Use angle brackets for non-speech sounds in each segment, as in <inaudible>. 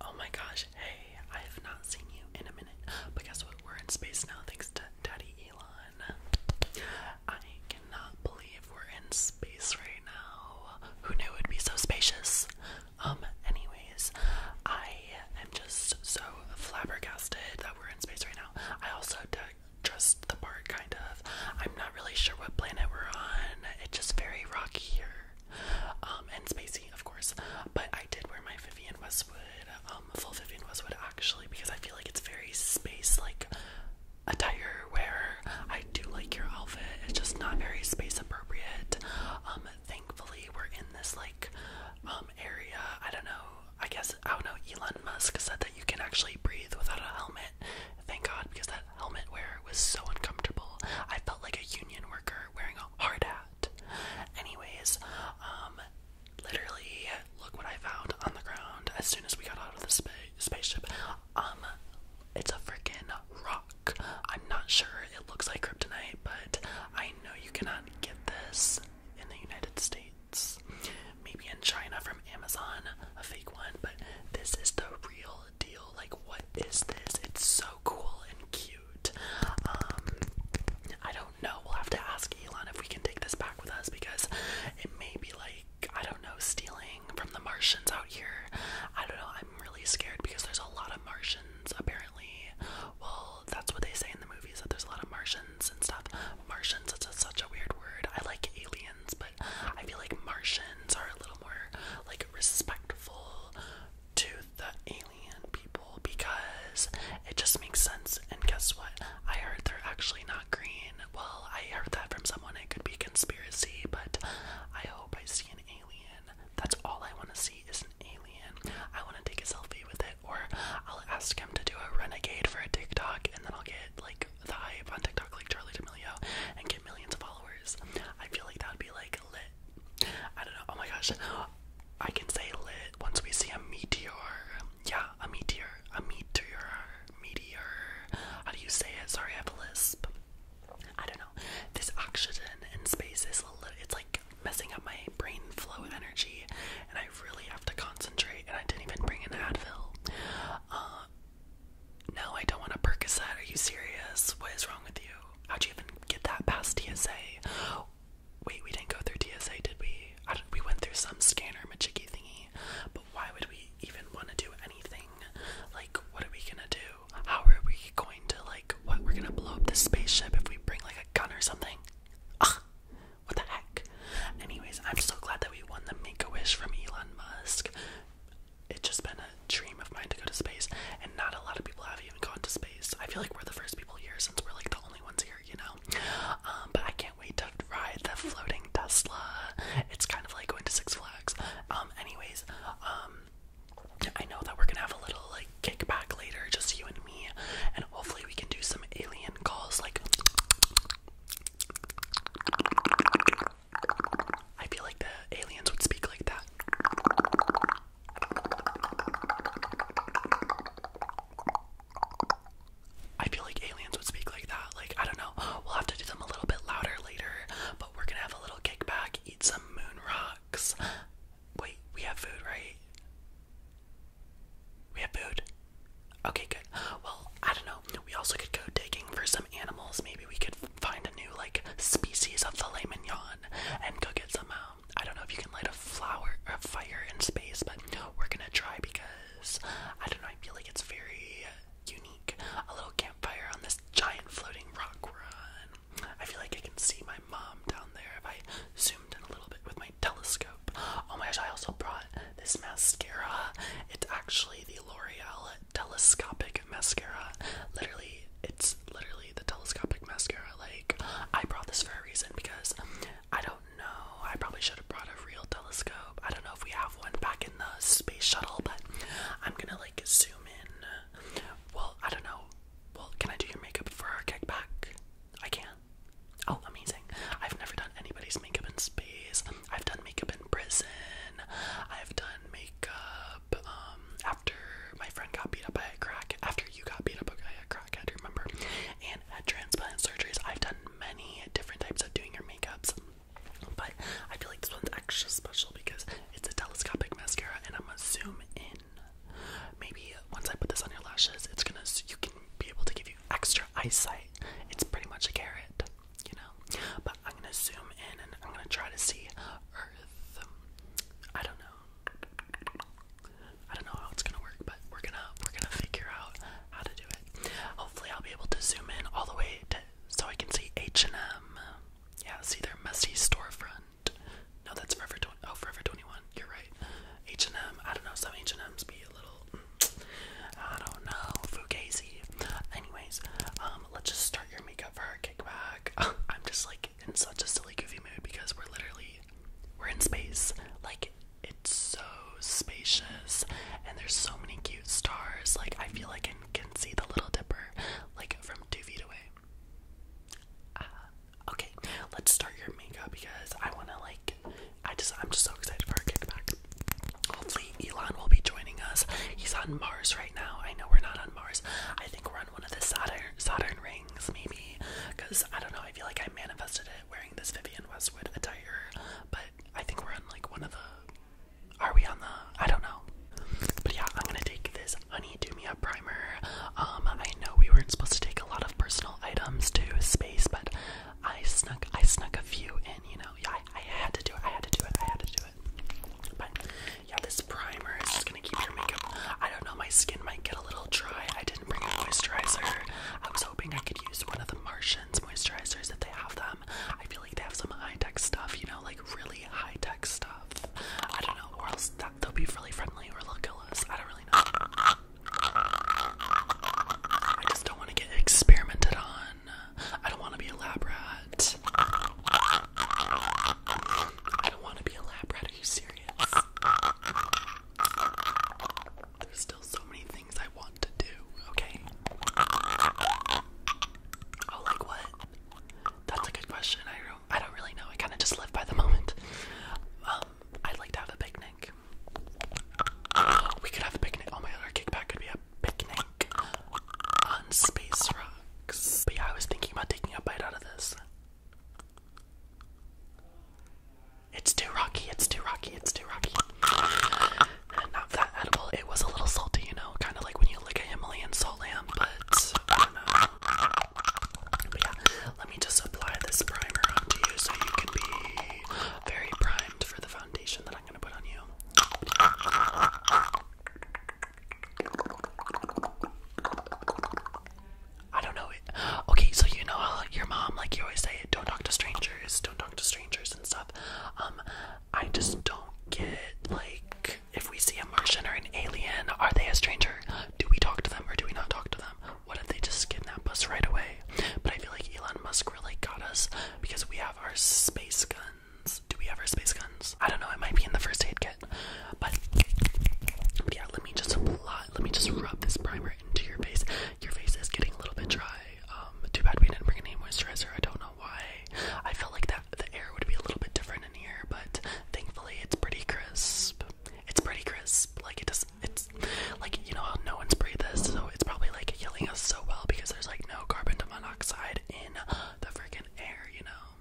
Oh my gosh, hey, I have not seen you in a minute. But guess what? We're in space now thanks to Daddy Elon. I cannot believe we're in space right now. Who knew it'd be so spacious? Um, anyways, I am just so flabbergasted that we're in space right now. I also trust the part kind of. I'm not really sure what planet we're on. It's just very rocky here. Um, and Spacey, of course. But I did wear my Vivian Westwood, um, full Vivian Westwood actually, because I feel like it's very space like attire wear. I do like your outfit, it's just not very space appropriate. Um, thankfully, we're in this like um area. I don't know, I guess I don't know. Elon Musk said that you can actually breathe without a helmet. Thank God, because that helmet wear was so uncomfortable. I felt like a union worker wearing a hard hat. Anyways, um, literally, look what I found on the ground as soon as we got out of the spa spaceship. Um, it's a freaking rock. I'm not sure. It looks like kryptonite, but I know you cannot get this in the United States. Maybe in China from Amazon, a fake one, but this is the real deal. Like, what is this? It's so cool and cute. Um, I don't know. We'll have to ask Elon if we can take this back with us because it may be like, I don't know, stealing from the Martians out here. I don't know. I'm really scared because there's a lot of Martians apparently. Well, that's what they say in the movies that there's a lot of Martians and stuff. Martians, it's such a weird word. I like aliens, but I feel like Martians are a little more like respectful to the alien people because it just makes sense. And guess what? I heard they're actually not green. Well, I heard that from someone. It could be conspiracy, but I hope I see an alien. That's all I want to see is an alien. I want to take a selfie with it, or I'll ask him to do a renegade for a TikTok, and then I'll get like the hype on TikTok, like Charlie D'Amelio, and get millions of followers. I feel like that would be like I don't know. Oh my gosh. I can say lit once we see a meteor. Yeah, a meteor. A meteor. Meteor. How do you say it? Sorry, I have a lisp. I don't know. This oxygen in space is a little, it's like messing up my brain flow energy, and I really have to concentrate. And I didn't even bring an Advil. Uh, no, I don't want a Percocet. Are you serious? What is wrong with you? How'd you even get that past TSA? Wait, we didn't go through TSA, did we? we went through some scanner machiki thingy, but why would we even want to do anything? Like, what are we gonna do? How are we going to like? What we're gonna blow up the spaceship if we bring like a gun or something? Ugh, what the heck? Anyways, I'm so glad that we won the Make a Wish from Elon Musk it's just been a dream of mine to go to space, and not a lot of people have even gone to space. I feel like we're the first people here since we're like the only ones here, you know? Um, but I can't wait to ride the floating Tesla. It's kind of like going to Six Flags. Um, anyways, um, I know that we're gonna have a little like kickback later, just you and me, and hopefully we can do some alien calls. Like, I feel like the aliens would speak like that. I feel like aliens would speak like that. Like, I don't know. We'll have to do them a little bit louder later, but we're gonna have a little kickback, eat some moon rocks. Wait, we have food, right? We have food. Okay, good. Well, I don't know. We also could go digging for some animals. Maybe we could find a new like species of filet mignon and cook it somehow. Um, I don't know if you can light a flower or a fire in space, but we're gonna try because I don't know. I feel like it's very unique. A little campfire on this giant floating rock run. I feel like I can see my mom down there if I zoomed in a little bit with my telescope. Oh my gosh! I also brought this mascara. It's actually the L'Oreal telescopic mascara. Literally, it's literally the telescopic mascara. Like, I brought this for a reason because I don't know. I probably should have brought a real telescope. I don't know if we have one back in the space shuttle, but I'm gonna like zoom in. Well, I don't know. Well, can I do your makeup for our kickback? I can. Oh, amazing. I've never done anybody's makeup in space. I've done makeup in prison. I've done makeup um, after my friend got beat up by a crack, after you got beat up by a crack, crackhead, remember? And at transplant surgeries. I've done many different types of doing your makeups, but I feel like this one's extra special because it's a telescopic mascara, and I'm gonna zoom in. Maybe once I put this on your lashes, it's gonna you can be able to give you extra eyesight. It's pretty much a carrot, you know. I'm gonna zoom in and I'm gonna try to see Earth. I don't know. I don't know how it's gonna work, but we're gonna we're gonna figure out how to do it. Hopefully, I'll be able to zoom in all the way so I can see H and M. Yeah, see their messy storefront. No, that's Forever Twenty. Oh, Forever Twenty One. You're right. H and m I I don't know. Some H and M's be a little. Mm, I don't know. Fugazi. Anyways, um, let's just start your makeup for our kickback. <laughs> I'm just like in such a silly goofy mood because we're literally we're in space. Like it's so spacious and there's so many cute stars. Like I feel like I can see the little dipper like from two feet away. Uh, okay, let's start your makeup because I wanna like I just I'm just so excited for our kickback. Hopefully Elon will be joining us. He's on Mars right now. I know we're not on Mars. I think we're on one of the Saturn Saturn rings, maybe. Cause I don't know, I feel like I manifested it wearing this Vivian Westwood attire. But I think we're on like one of the are we on the I don't know. But yeah, I'm gonna take this honey do me up primer. Um I know we weren't supposed to take a lot of personal items to space, but I snuck I snuck a few in, you know. Yeah, I, I had to do it, I had to do it, I had to do it. But yeah, this primer is just gonna keep your makeup. I don't know, my skin might get a little dry. I didn't bring a moisturizer. I was hoping I could use one of the Martians moisturizers if they have them. I feel like they have some high tech stuff, you know, like really high tech stuff. I don't know, or else they'll be really friendly or look little us. I don't really know. I just don't want to get experimented on. I don't want to be a lab rat. I don't want to be a lab Are you serious? There's still so many things I want to do, okay? Oh, like what? That's a good question. I don't I don't really know. I kind of just live by the moment. Um, I'd like to have a picnic. We could have a picnic. Oh my god, our kickback could be a picnic on space rocks. But yeah, I was thinking about taking a bite out of this. It's too rocky, it's too rocky, it's too rocky. And not that edible. It was a little salty, you know, kind of like when you lick a Himalayan salt lamp, but But yeah, let me just apply this primer onto you so you can be very primed for the foundation that I'm gonna put on you. I don't know it. Okay, so you know how uh, your mom, like you always say, don't talk to strangers, don't talk to strangers and stuff. Um, I just don't get like if we see a Martian or an alien, are they a stranger? Do we talk to them or do we not talk to them? What if they just get that bus right away? But I feel like Elon Musk really got us because we have our space gun. Do we have our space guns? I don't know, it might be in the first aid kit. But, yeah, let me just let me just rub this primer into your face. Your face is getting a little bit dry. Um, too bad we didn't bring any moisturizer. I don't know why. I feel like that the air would be a little bit different in here, but thankfully it's pretty crisp. It's pretty crisp. Like it does It's like you know how no one's breathing this, so it's probably like healing us so well because there's like no carbon dioxide in the freaking air. You know.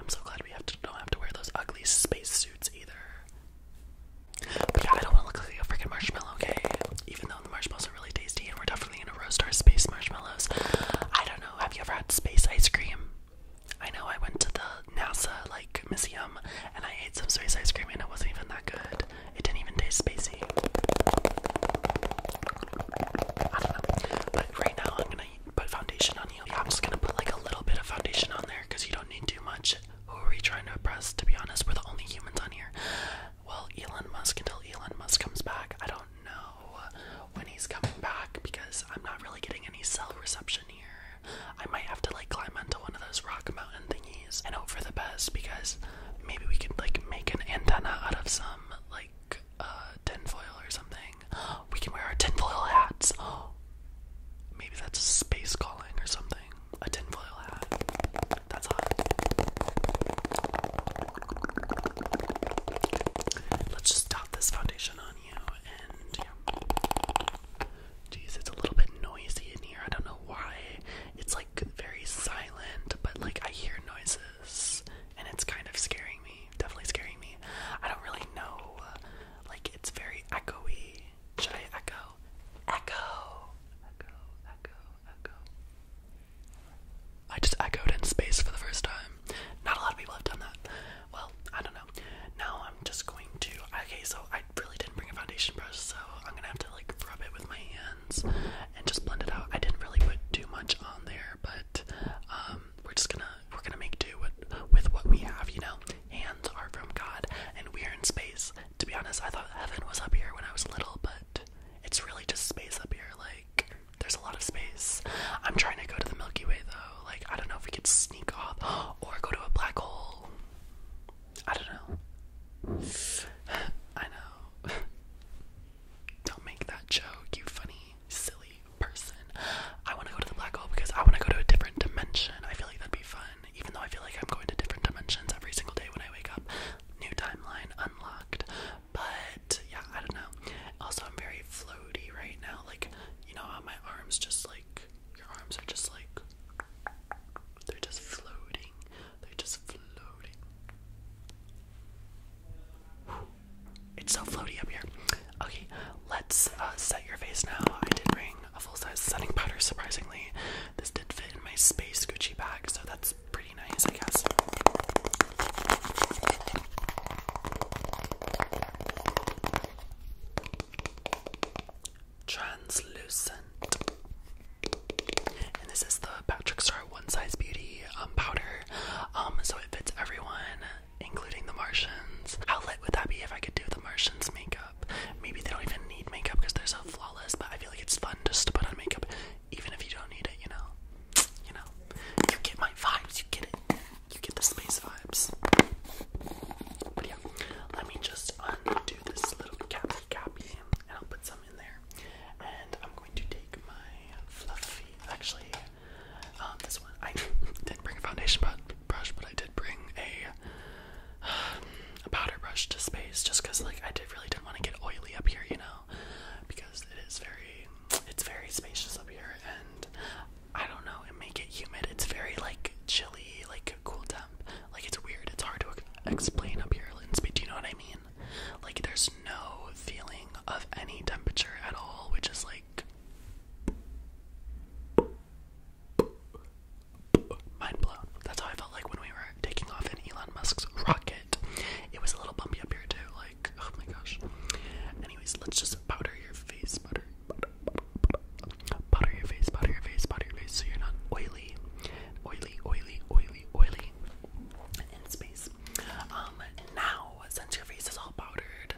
I'm so glad we have to don't have to wear those ugly space suits either. But yeah, I don't want to look like a freaking marshmallow, okay? Even though the marshmallows are really tasty and we're definitely gonna roast our space marshmallows. I don't know, have you ever had space ice cream? I know I went to the NASA like museum and I ate some space ice cream and it wasn't even that good. It didn't even taste spacey. But right now I'm gonna put foundation on you. I'm just gonna put like a little bit of foundation on there because you don't need too much. Who are we trying to impress? To be honest, we're the only humans on here. Well, Elon Musk until Elon Musk comes back. I don't know when he's coming back because I'm not really getting any cell reception here. I might have to like climb onto one of those rock mountain thingies and hope for the best because maybe we could like make an antenna out of some like uh, tinfoil or something. We can wear our tinfoil hats. <gasps> Maybe that's a space calling or something. A tinfoil hat. That's hot. Let's just dot this foundation on you and Jeez, it's a little bit noisy in here. I don't know why. It's like very silent, but like I hear noises and it's kind of scaring me definitely scaring me. I don't really know. like it's very echoey. Should I echo? Echo, echo, echo, echo. I just echoed in space for the first time. Not a lot of people have done that. Well, I don't know. Now I'm just going to. Okay, so I really didn't bring a foundation brush, so I'm gonna have to like rub it with my hands and just blend it out. I didn't really put too much on there, but um, we're just gonna we're gonna make do with, with what we have, you know. Hands are from God, and we are in space. To be honest, I thought heaven was up here when I was little, but it's really just space up here. Like, there's a lot of space. I'm trying to go to the Milky Way though. Like, I don't know if we could sneak off <gasps> or go to a black hole. I don't know. <sighs> I know. <laughs> Don't make that joke, you funny, silly person. I want to go to the black hole because I want to go to a different dimension. I feel like that'd be fun, even though I feel like I'm going to different dimensions every single day when I wake up. New timeline unlocked. But yeah, I don't know. Also, I'm very floaty right now. Like, you know, how my arms just like, your arms are just like, they're just floating. They're just floating. It's so floaty up here. Okay, let's uh, set your face now. I did bring a full size setting powder, surprisingly. This did fit in my space Gucci bag, so that's pretty nice, I guess. Translucent. And this is the Patrick Star One Size Beauty um, powder. Um, so it fits everyone, including the Martians. How lit would that be if I could do the Martians makeup? Maybe they don't even need makeup because they're so flawless, but I feel like it's fun just to put on makeup even if you don't need it, you know? You know? You get my vibes, you get it. You get the space vibes. But yeah, let me just undo this little cappy cappy and I'll put some in there. And I'm going to take my fluffy, actually, um, this one I <laughs> didn't bring a foundation brush, but I did bring a, <sighs> a powder brush to space just because like I did really didn't want to get oily up here, you know, because it is very it's very spacious up here and I don't know it may get humid. It's very like chilly, like cool temp. Like it's weird. It's hard to explain up here, Linsby. Do you know what I mean? Like, there's no feeling of any temperature at all, which is like mind blown. That's how I felt like when we were taking off in Elon Musk's rocket. It was a little bumpy up here, too. Like, oh my gosh. Anyways, let's just powder your face, butter. Butter, your face, butter your face, butter your face, so you're not oily, oily, oily, oily, oily in space. Um, now since your face is all powdered.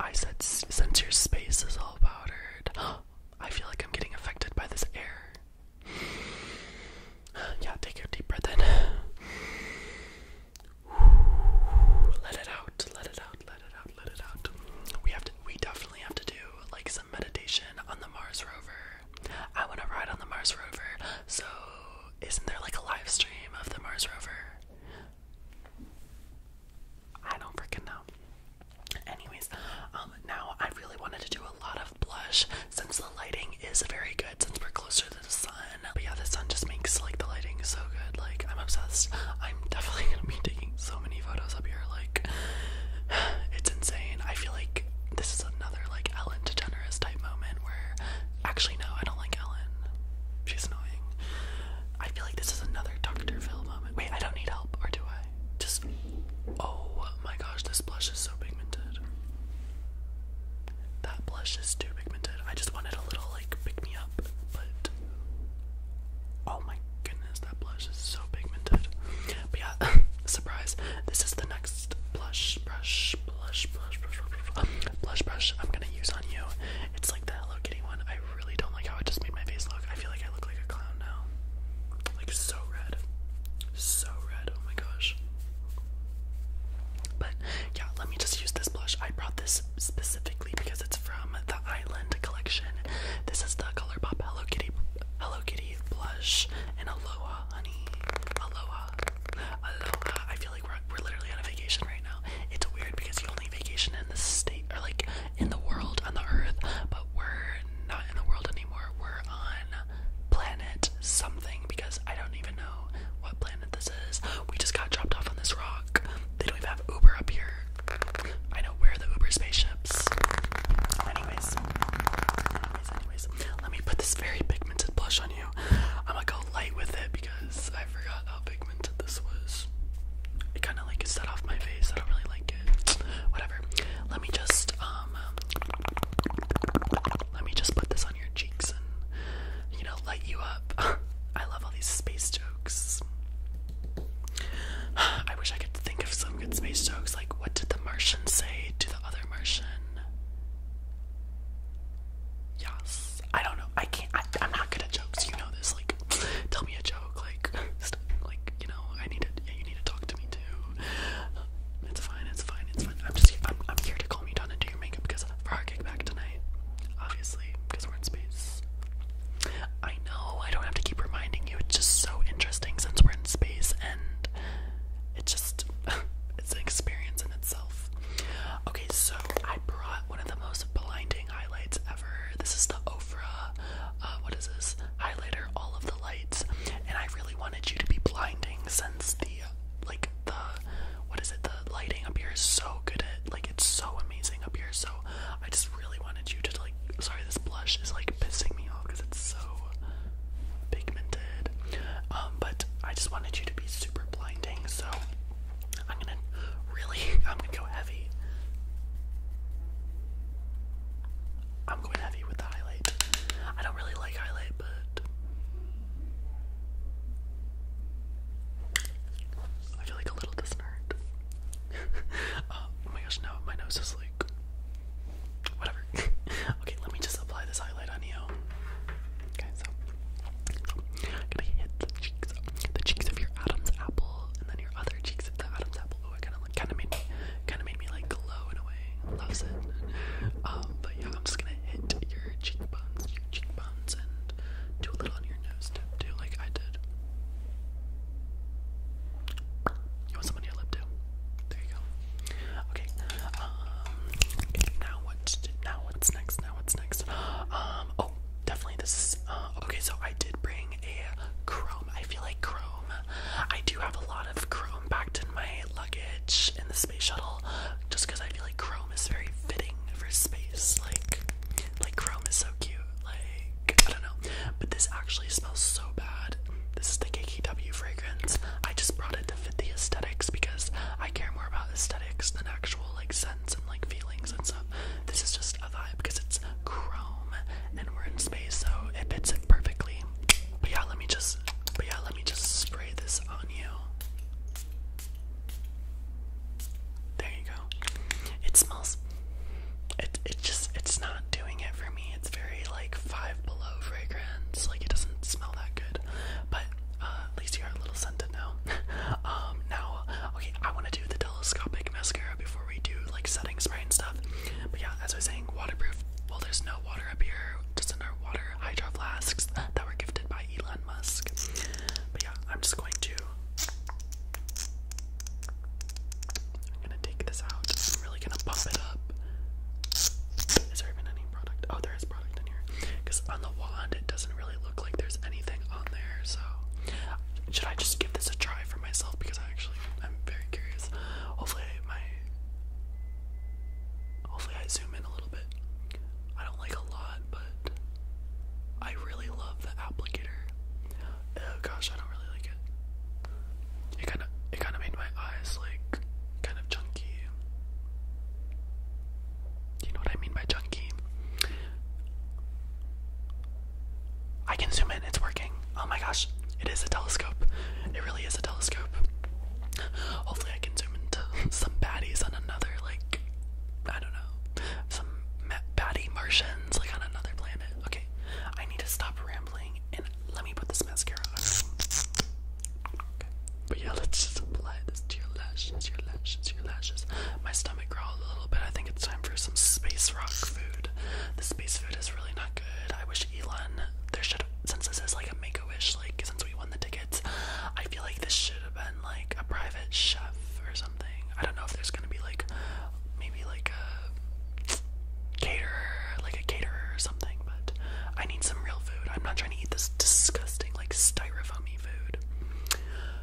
I said since your space is all powdered. <gasps> I feel like I'm getting affected by this air. <sighs> Yeah, take your deep breath in. <sighs> Let it out, let it out, let it out, let it out. We have to we definitely have to do like some meditation on the Mars rover I want to ride on the Mars rover. So, isn't there like a live stream of the Mars rover? I don't freaking know. Anyways, um, now I really wanted to do a lot of blush since the lighting is very good since we're closer to the sun. But yeah, the sun just makes like the lighting so good. Like I'm obsessed. I'm <laughs> definitely gonna be taking so many photos up here. Like <sighs> it's insane. I feel like this is another like Ellen DeGeneres type moment where Actually, no, I don't like Ellen. She's annoying. I feel like this is another Dr. Phil moment. Wait, I don't need help, or do I? Just. Oh my gosh, this blush is so pigmented. That blush is too pigmented. I just wanted a little, like, pick me up, but. Oh my goodness, that blush is so pigmented. But yeah, <laughs> surprise. This is the next blush brush blush, blush, blush, blush, um, blush brush I'm gonna use on you. It's like the Hello Kitty one. I really don't like how it just made my face look. I feel like I look like a clown now. Like so red. So red. Oh my gosh. But yeah, let me just use this blush. I brought this specifically because it's from the Island collection. This is the ColourPop Hello Kitty Hello Kitty blush in Aloha Honey. Aloha. I feel like we're, we're literally on a vacation right now. It's weird because you only vacation in the state, or like in the world, on the earth, but we're not in the world anymore. We're on planet something because I don't even know what planet this is. We just got dropped off on this rock. They don't even have Uber up here. I know where the Uber spaceships. Anyways, anyways, anyways, let me put this very pigmented blush on you. I'm gonna go light with it because I forgot how pigmented this was. It kind of like set off my face. I don't really like it. Whatever. Let me just um. Let me just put this on your cheeks and you know light you up. <laughs> I love all these space jokes. <sighs> I wish I could think of some good space jokes. Like, what did the Martian say to the other Martian? Yes. I don't know. I can't. I, am not good at jokes. You know this. Like, <laughs> tell me a joke. Like, <laughs> like you know, I need to. Yeah, you need to talk to me too. Uh, it's fine. It's fine. It's fine. I'm just. I'm, I'm here to call me down and do your makeup because for our kickback tonight, obviously, because we're in space. I know. I don't have to keep reminding you. It's just so interesting since we're in space, and it just. <laughs> it's an experience in itself. Okay, so I brought one of the most blinding highlights ever. This is the Ofra, uh, what is this? Highlighter, all of the lights. And I really wanted you to be blinding since the, like, the, what is it? The lighting up here is so good at, like, it's so amazing up here. So I just really wanted you to, like, sorry, this blush is, like, pissing me off because it's so pigmented. Um, but I just wanted you to be super blinding, so I'm gonna really, <laughs> I'm gonna go heavy. I'm going heavy with the highlight. I don't really like highlight, but I feel like a little disheartened. <laughs> Uh, oh my gosh, now my nose is like Whatever. <laughs> okay, let me just apply this highlight on you. Okay, so I'm gonna hit the cheeks, the cheeks of your Adam's apple, and then your other cheeks of the Adam's apple. Oh, it kind of made me, kind of made me like glow in a way. Loves it. Um, but yeah, I'm just gonna hit your cheekbones, your cheekbones, and do a little on your nose too, like I did. You want someone to your lip too? There you go. Okay. Um, now what's now what's next? Now what's next? Um. Oh, definitely this. uh, okay, so I did bring a Chrome. I feel like Chrome. I do have a lot of Chrome packed in my luggage in the space shuttle, just because I feel like Chrome is very fitting for space. Like, like Chrome is so cute. Like, I don't know. But this actually smells so bad. This is the KKW fragrance. I just brought it to fit the aesthetics because I care more about aesthetics than actual like sense and like feelings and stuff. This is just a vibe because it's chrome and we're in space, so it fits it perfectly. But yeah, let me just but yeah, let me just spray this on you. There you go. It smells it it just it's not doing it for me. It's very like five below fragrance. Like it doesn't smell that good, but uh, at least you are a little scent to know. <laughs> Um, now, okay, I want to do the telescopic mascara before we do like setting spray and stuff. But yeah, as I was saying, waterproof. Well, there's no water up here. Just in our water hydro that were gifted by Elon Musk. But yeah, I'm just going to. I'm gonna take this out. I'm really gonna pump it up. Is there even any product. Oh, there is product in here. Because on the wand, it doesn't really look like there's anything on there. So, should I just give this a try for myself? Because I actually, I'm very curious. Hopefully, my. Hopefully, I zoom in a little bit. I don't like a lot, but I really love the applicator. Oh gosh, I don't really like it. It kind of it kind of made my eyes like kind of chunky. You know what I mean by chunky? I can zoom in. It's working. Oh my gosh, it is a telescope. It really is a telescope. Hopefully, I can zoom into some baddies on another like I don't know some baddie Martians like on another planet. Okay, I need to stop rambling and let me put this mascara on. But yeah, <laughs> let's just apply this to your lashes, your lashes, your lashes. My stomach growled a little bit. I think it's time for some space rock food. The space food is really not good. I wish Elon there should since this is like a make a wish, like since we won the tickets, I feel like this should have been like a private chef or something. I don't know if there's gonna be like maybe like a caterer, like caterer or something, but I need some real food. I'm not trying to eat this disgusting, like styrofoamy food.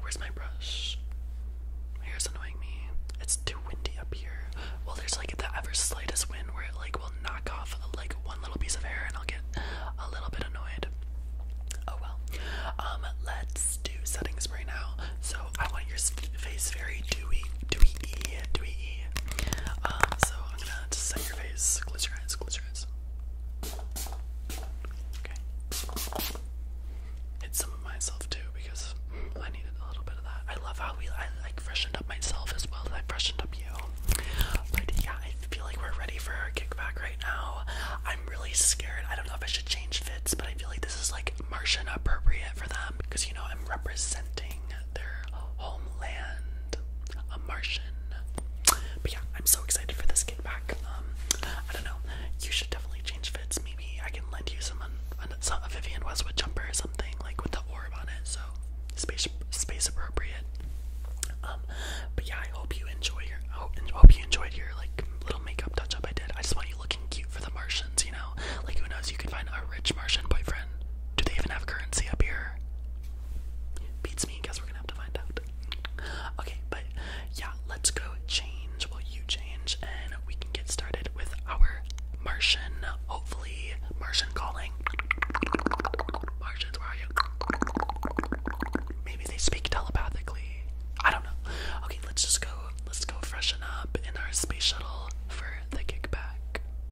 Where's my brush? My hair's annoying me. It's too windy up here. Well, there's like the ever slightest wind where it like will knock off like one little piece of hair and I'll get a little bit annoyed. Oh well. Um, let's do settings right now. So I want your face very dewy, dewy, dewy. Um, so I'm gonna set your face. Close your eyes. Close your eyes. Okay. Hit some of myself too because I needed a little bit of that. I love how we I like freshened up myself as well I freshened up you. But yeah, I feel like we're ready for a kickback right now. I'm really scared. I don't know if I should change fits, but I feel like this is like Martian appropriate for them because you know I'm representing their homeland, a Martian. But yeah, I'm so excited for this get back. Um, I don't know. You should definitely change fits. Maybe I can lend you some a Vivian Westwood jumper or something like with the orb on it. So space space appropriate. Um, but yeah, I hope you enjoy your. I hope, hope you enjoyed your like little makeup touch up I did. I just want you looking cute for the Martians. You know, like who knows? You could find a rich Martian boyfriend. Do they even have currency up here? Beats me, guess we're gonna have to find out. Okay, but yeah, let's go change. while you change, and we can get started with our Martian. Hopefully, Martian calling. Martians, where are you? Maybe they speak telepathically. I don't know. Okay, let's just go. Let's go freshen up in our space shuttle for the kickback.